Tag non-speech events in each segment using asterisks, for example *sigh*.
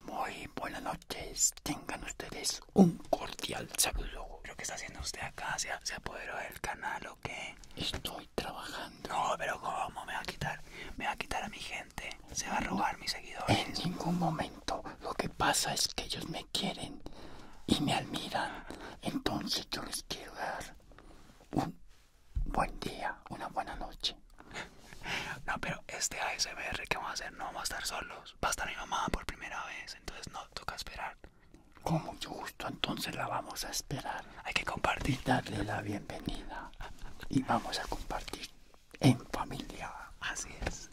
Muy buenas noches, tengan ustedes un cordial saludo. Lo que está haciendo usted acá? ¿Se, apoderó del canal o qué? Estoy trabajando. No, pero ¿cómo? Me va a quitar, me va a quitar a mi gente. Se va a robar mi mis seguidores. En ningún momento. Lo que pasa es que ellos me quieren y me admiran. Entonces yo les quiero dar un buen día, una buena noche. No, pero este ASMR que vamos a hacer no vamos a estar solos. Va a estar mi mamá por primera vez, entonces no toca esperar. Como justo entonces la vamos a esperar. Hay que compartir. darle la bienvenida. Y vamos a compartir en familia. Así es.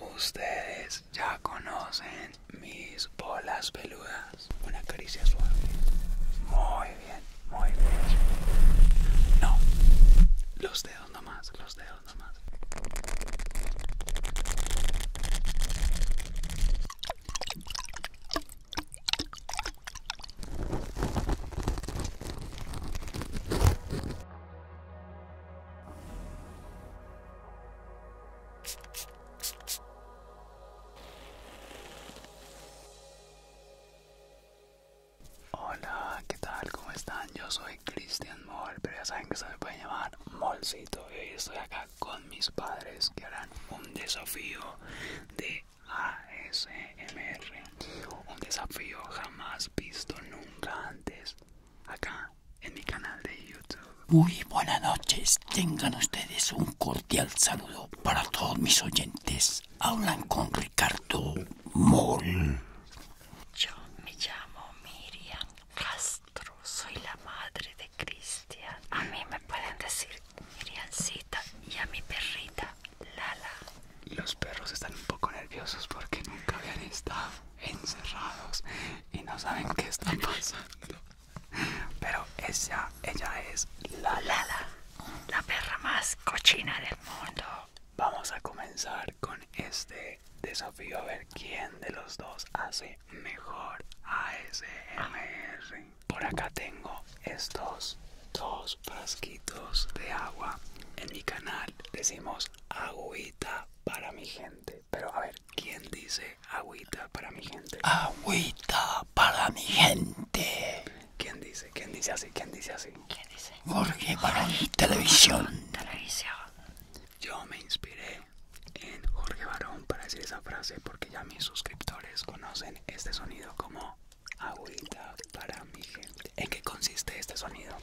Ustedes ya conocen mis bolas peludas. Una caricia suave. Muy bien, muy bien. No, los de dedos nomás, los dedos nomás. Hola, ¿qué tal? ¿Cómo están? Yo soy Cristian Moll, pero ya saben que se me puede llamar Molcito. Y eh, estoy acá con mis padres que harán un desafío de ASMR. Un desafío jamás visto nunca antes acá en mi canal de YouTube. Muy buenas noches, tengan ustedes un cordial saludo para todos mis oyentes. Hablan con Ricardo Yo me llamo Miriam Castro, soy la madre de Cristian. A mí me pueden decir Miriancita y a mi perrita Lala. Los perros están un poco nerviosos porque nunca habían estado encerrados y no saben qué está pasando. Pero ella, ella es la Lala, la perra más cochina del mundo. Vamos a comenzar con este desafío a ver quién de los dos hace mejor ASMR. Por acá tengo estos dos pasquitos de agua. En mi canal decimos agüita para mi gente. Pero a ver, ¿quién dice agüita para mi gente? Agüita para mi gente. ¿Quién dice? ¿Quién dice así? ¿Quién dice así? ¿Qué dice? Jorge Barón Televisión. Televisión. Yo me inspiré en Jorge Barón para decir esa frase porque ya mis suscriptores conocen este sonido como agüita para mi gente. ¿En qué consiste este sonido?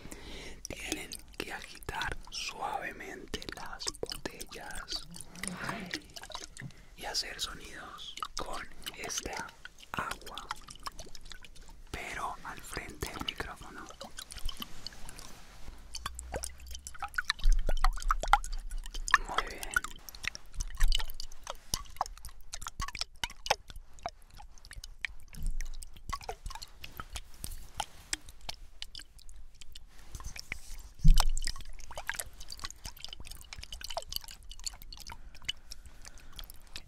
Tienen que agitar suavemente las botellas y hacer sonidos con este agua, pero al frente del micrófono. Muy bien.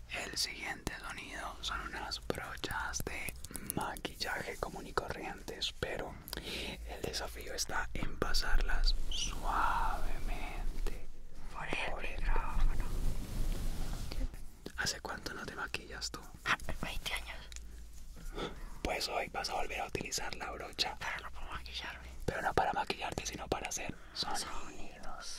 El siguiente sonido son unas brochas de maquillaje común y corrientes, pero el desafío está en pasarlas suavemente por el, ¿Hace cuánto no te maquillas tú? Hace ah, 20 años. Pues hoy vas a volver a utilizar la brocha. Pero no para maquillarme. maquillarte, sino para hacer sonidos.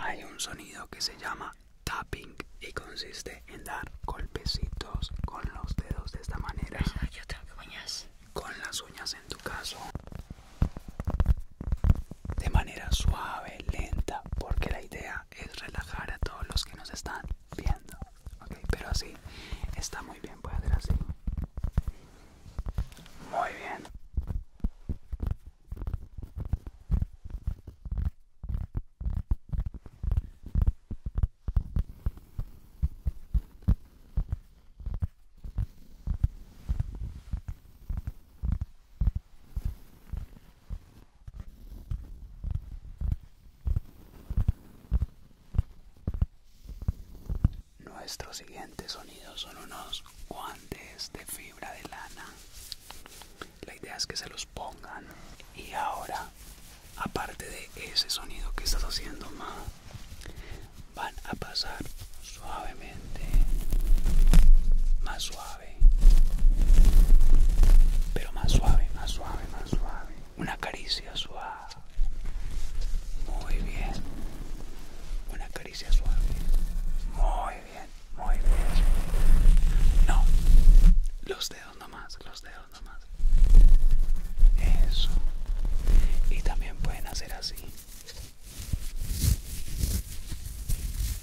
Hay un sonido que se llama tapping y consiste en dar golpecitos con los dedos de esta manera. Yo Con las uñas en tu caso. De manera suave, lenta, porque la idea es relajar a todos los que nos están viendo ok pero así está muy bien puede hacer así muy bien nuestro siguientes sonidos son unos guantes de fibra de lana. La idea es que se los pongan. Y ahora, aparte de ese sonido que estás haciendo, van a pasar suavemente, más suave. Pero más suave, más suave, más suave. Una caricia suave. Muy bien. Una caricia suave. Muy bien, muy bien. No. Los dedos nomás, los dedos nomás. Eso. Y también pueden hacer así.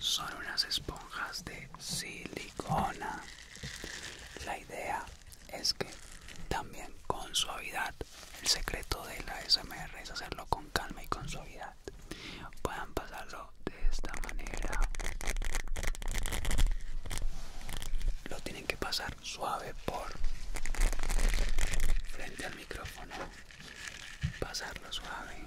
Son unas esponjas de silicona. La idea es que también con suavidad, el secreto de la SMR es hacerlo con calma y con suavidad. Puedan pasarlo de esta manera. Lo tienen que pasar suave por frente al micrófono pasarlo suave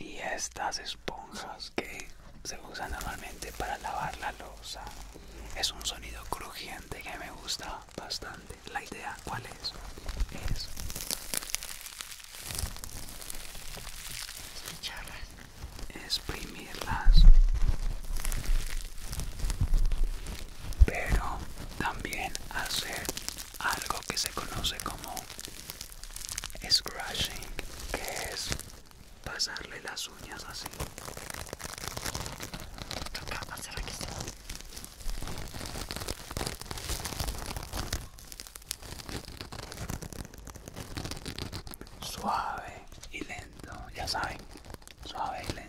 Y estas esponjas que se usan normalmente para lavar la losa. Es un sonido crujiente que me gusta bastante. La idea, ¿cuál es? Es Esprimirlas pero también hacer algo que se conoce como scratching que es pasarle las uñas así Suave y lento, ya saben, suave y lento.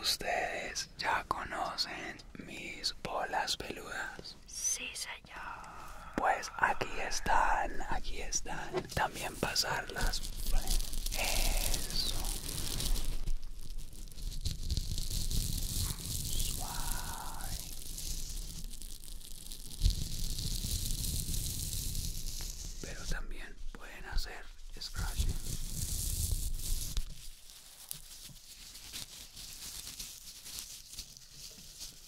Ustedes ya conocen mis bolas peludas. Pues aquí están, aquí están. También pasarlas. Eso. Pero también pueden hacer scratching.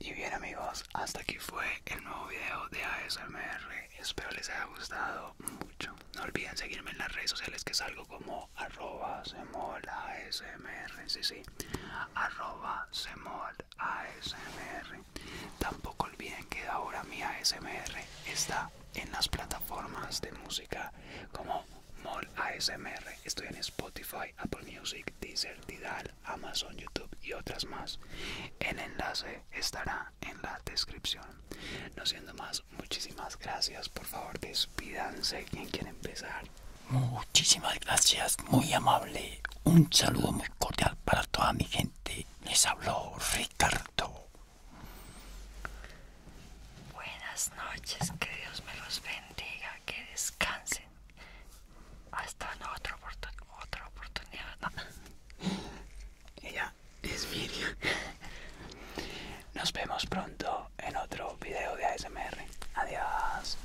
Y bien amigos, hasta aquí fue el nuevo video de ASMR. Espero les haya gustado mucho. No olviden seguirme en las redes sociales que salgo como arroba semol ASMR. Sí, sí. Arroba Tampoco olviden que ahora mi ASMR está en las plataformas de música como Mol ASMR. Estoy en Spotify, Apple Music, Deezer, Amazon, YouTube y otras más. El enlace estará en la descripción. No siendo más, muchísimas gracias. Por favor, despídanse. ¿Quién quiere empezar? Muchísimas gracias, muy amable. Un saludo muy cordial para toda mi gente. Les habló Ricardo. Buenas noches, que Dios me los bendiga, que descansen. Hasta otra, otra oportunidad. *laughs* Nos vemos pronto en otro video de ASMR. Adiós.